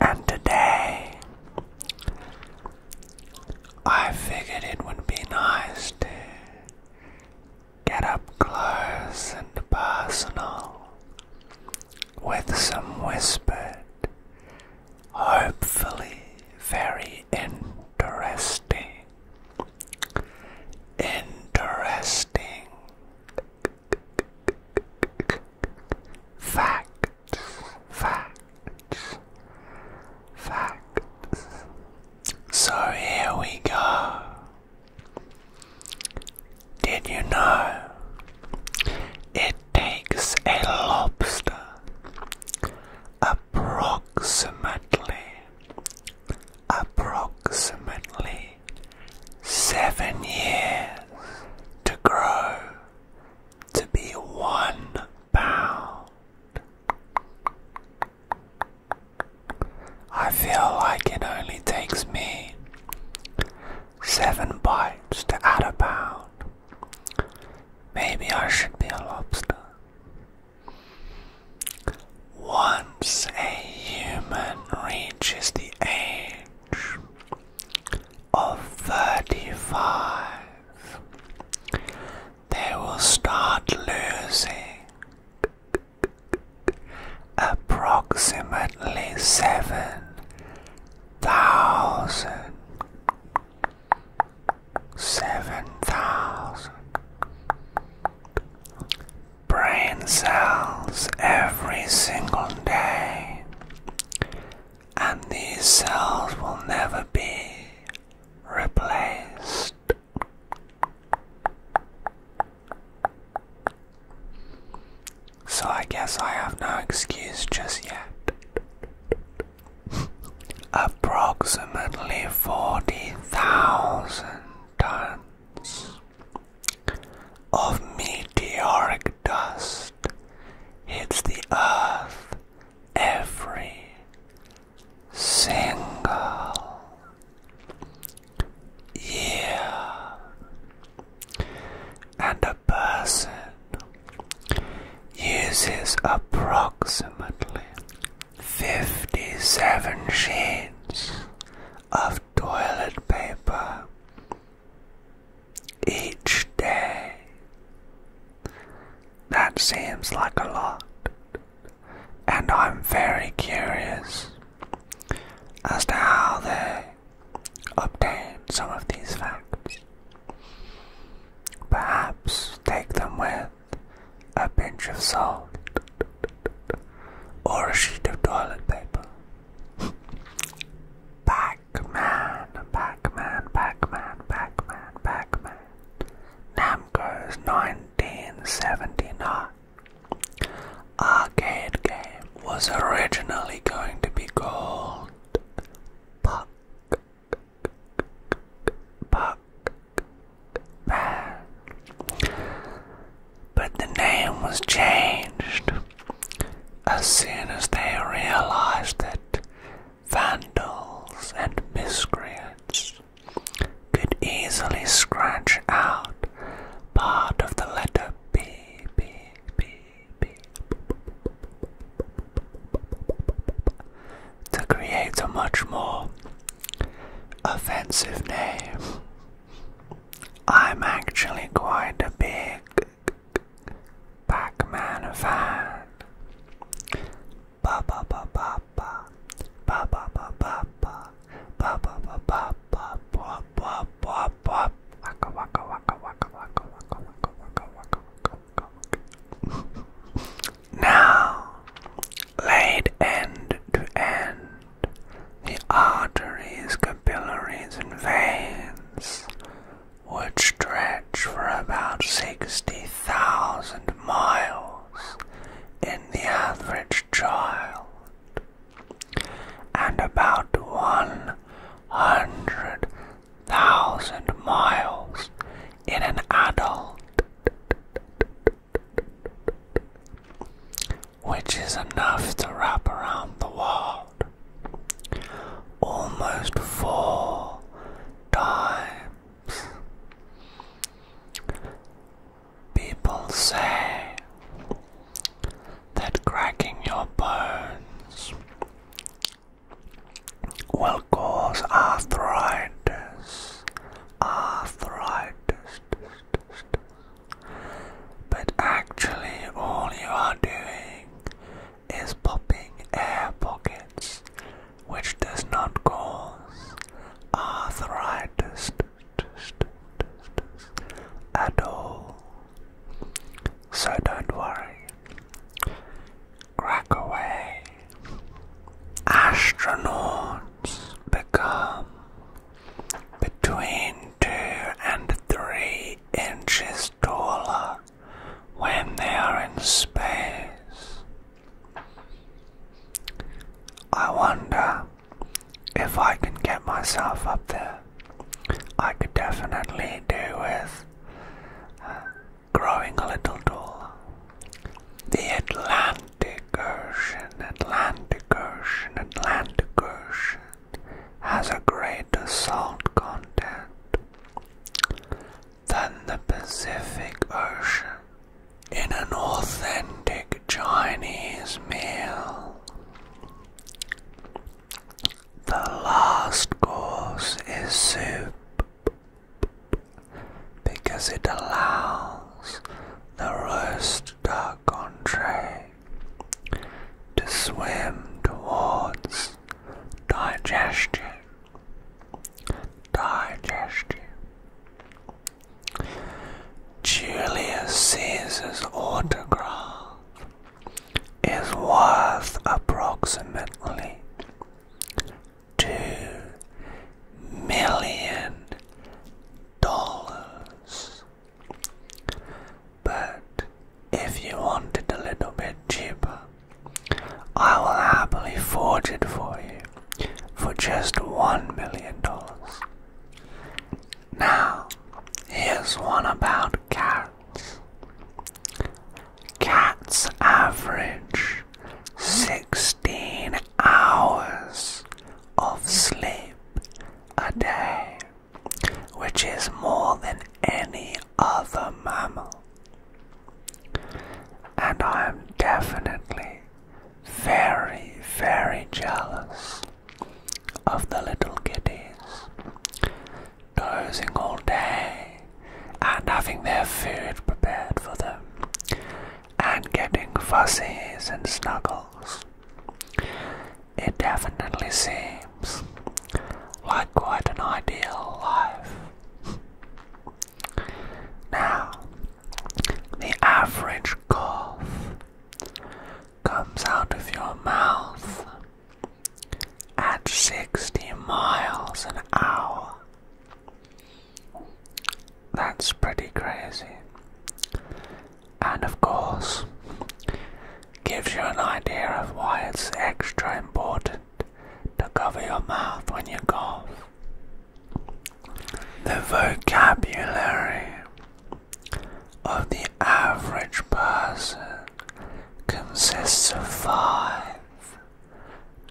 And today, I figured it would be nice to get up close and personal with some whispered, hopefully very interesting, interesting. Facts facts, facts. So here we go. Did you know it takes a lobster approximately approximately seven years to grow to be one pound. I feel like it only takes me seven bites to add a pound. Maybe I should be a lobster. Once a human reaches the age of 35, they will start losing approximately 7,000. brain cells every single day and these cells will never be replaced. So I guess I have no excuse just yet. Approximately 40,000 tons of meteoric dust hits the earth every single year, and a person uses approximately 57 sheets of toilet paper each day. That seems like a lot, and I'm very curious as to how they obtain some of these facts. Perhaps take them with a pinch of salt or a sheet of toilet paper. Pac-Man, Pac-Man, Pac-Man, Pac-Man, pac Namco's 1979 arcade game was originally going to be called Puck, Puck Man but the name was changed as soon as they realized that vandals and miscreants could easily scratch out part of the letter B, B, B, B, to create a much more offensive name. I'm actually quite a big Pac Man fan. Ba ba ba ba ba. Ba ba ba ba ba. Ba ba ba ba ba. Ba ba ba ba. Now, laid end to end the arteries, capillaries, and veins, which stretch for about 60,000 miles in the average child, and about 100,000 miles in an adult which is enough to wrap around the world almost four times. People say that cracking your bones will cause arthritis. Arthritis. But actually, all you are doing is popping air pockets, which does not cause arthritis at all. So don't worry. Crack away. Astronauts become between 2 and 3 inches taller when they are in space. I wonder if I can get myself up there. I could definitely do with uh, growing a little taller. The Atlantic. Atlantic Ocean, Atlantic Ocean, Atlantic Ocean has a greater salt content than the Pacific Ocean. In an authentic Chinese meal, the last course is soup because it allows the roast the country to swim towards digestion. Digestion. Julius Caesar's autograph is worth approximately two million dollars. But if you want it a little bit cheaper, I will happily forge it for you for just one million dollars. Now, here's one about cats. Cats average 16 hours of sleep a day, which is more than any other mammal. And I am definitely very, very jealous of the little kitties dozing all day and having their food prepared for them and getting fuzzies and snuggles. It definitely seems like quite an ideal life. Now, the average cough comes out of your mouth at 60 miles an hour. That's pretty crazy and of course gives you an idea of why it's extra important to cover your mouth when you cough. The vocabulary of the average person consists of five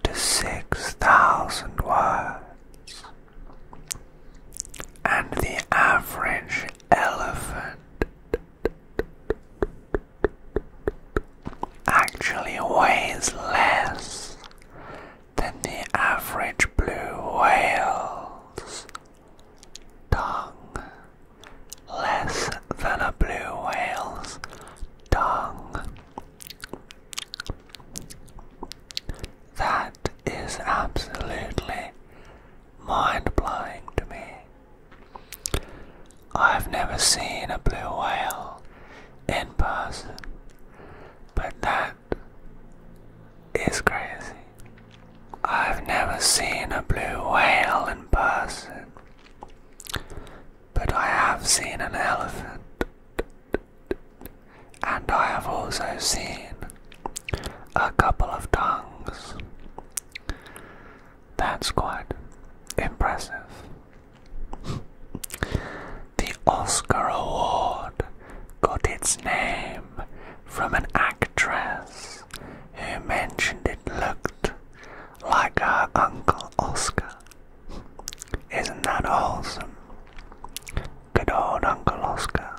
to six thousand words and the average elephant actually weighs less than the average blue whale's tongue. Less than a blue whale's tongue. That is absolutely mind blowing to me. I've never seen a blue whale in person, but that is crazy. I've never seen a blue whale in person, but I have seen an elephant and I have also seen a couple of tongues. That's quite impressive. The Oscar Award got its name from an actress who mentioned it looked like her Uncle Oscar. Isn't that awesome? Good old Uncle Oscar.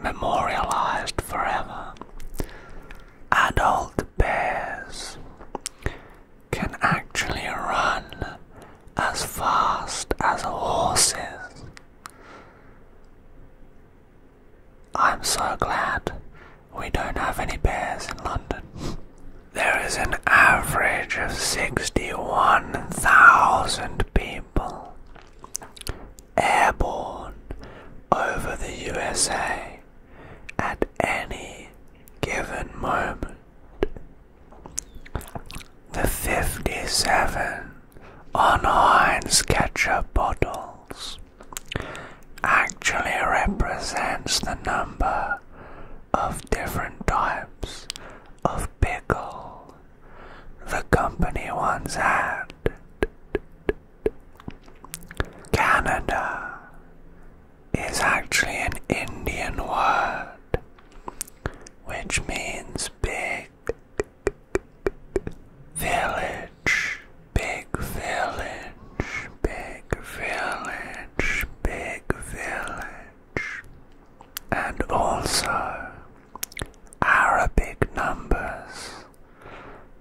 Memorialized forever. Adult bears can actually run as fast as horses. I'm so glad we don't have any bears in London. There is an average of 61,000 people airborne over the USA at any given moment. The 57 on Heinz ketchup bottles actually represents the number of different types of pickle the company once had. Canada is actually an Indian word which means big village, big village, big village, big village and also Arabic numbers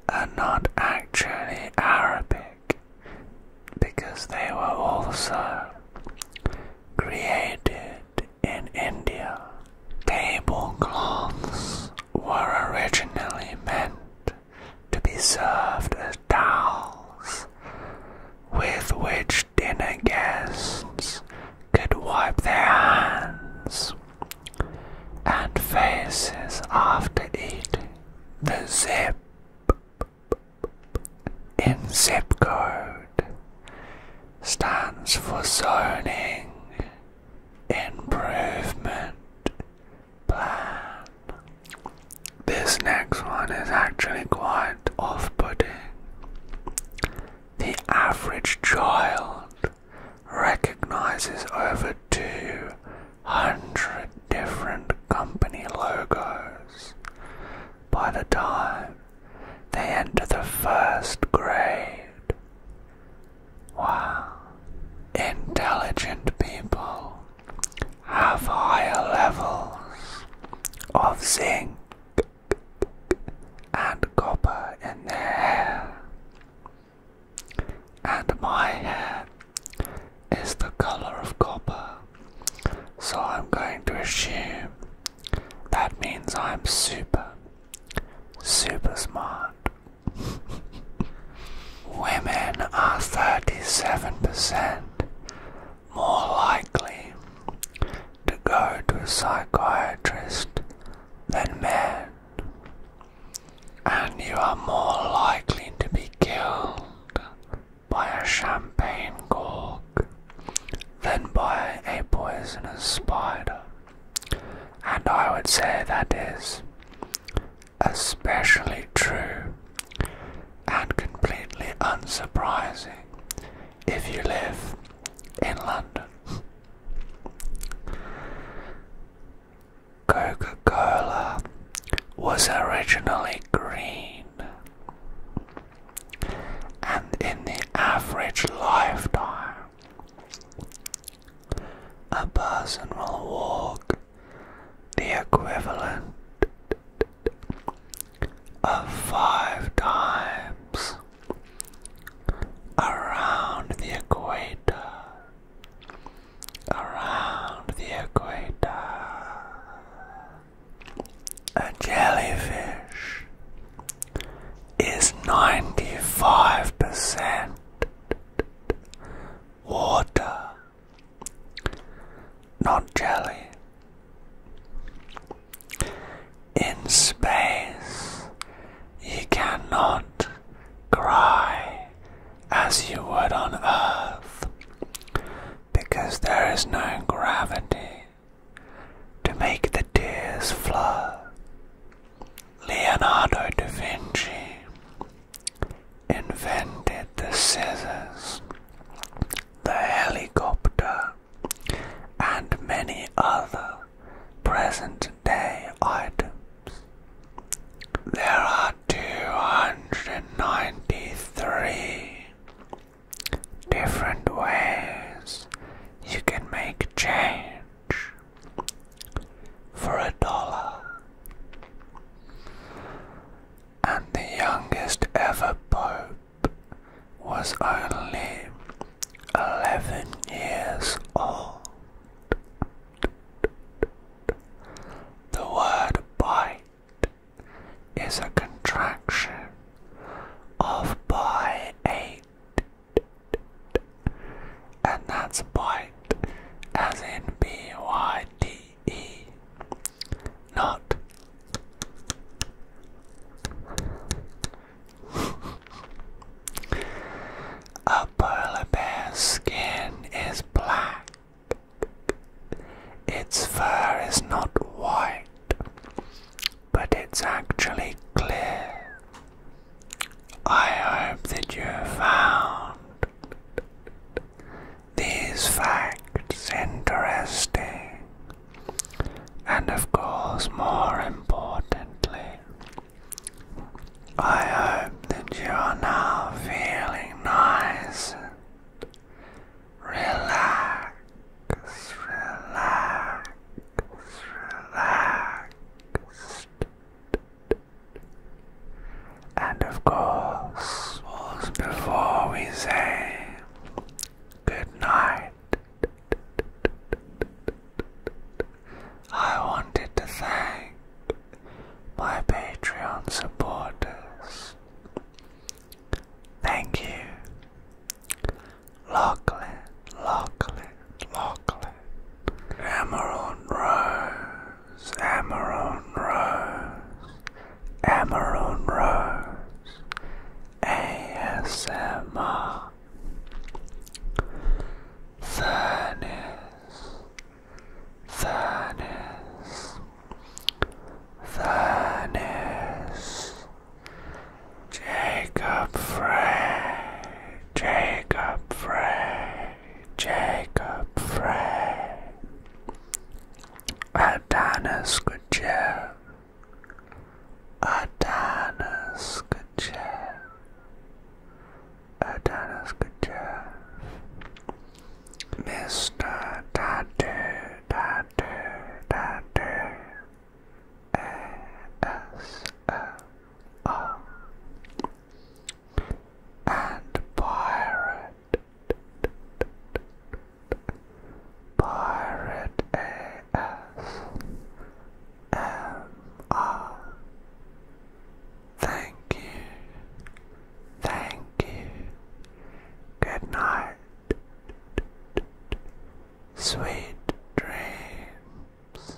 are not actually Arabic because they were also created in India. Tablecloths were originally meant to be served as towels with which dinner guests could wipe their hands and faces after eating. The zip in zip code stands for zoning improvement plan. This next one is actually quite off putting. The average child recognizes over 200 different company logos by the time they enter the first grade. Wow. Intelligent people have higher levels of zinc and copper in their hair, and my hair is the color of copper, so I'm going to assume that means I'm super, super smart. Women are 37% more likely to go to a psychiatrist than man, and you are more likely to be killed by a champagne cork than by a poisonous spider. And I would say that is especially true and completely unsurprising if you live in London. Coca Cola was originally green, and in the average lifetime, a person will walk the equivalent of five times around the equator. Around the equator. A jellyfish is 95% water not jelly. In space, you cannot cry as you would on Earth because there is no gravity to make the tears flow. Leonardo da Vinci invented the scissors, the helicopter, and many other present day items. There are 293 different ways you can make change for a dollar and the youngest ever pope was only 11 years old. The word bite is a contraction of "bite eight, and that's bite as in B Y D. E not A polar bear's skin is black. Its fur is not white, but it's actually clear. I hope that you found these facts interesting and of course more importantly I hope that you are now feeling nice and relax relaxed and of course, before we say good night, I wanted to thank my Patreon supporters. Thank you, Lachlan, Lachlan, Lachlan, Emerald Rose. Rose, Amarone Rose, Amarone Rose, ASMR. Furnace, furnace, furnace. Jacob Frey, Jacob Frey, Jacob Frey, Adonis Goodyear, Adonis Goodyear, Adonis Goodyear, Mr. Tattoo, Tattoo, Tattoo, A-S-M-R and pirate, pirate A S M R. Thank you, thank you. Good night, sweet dreams.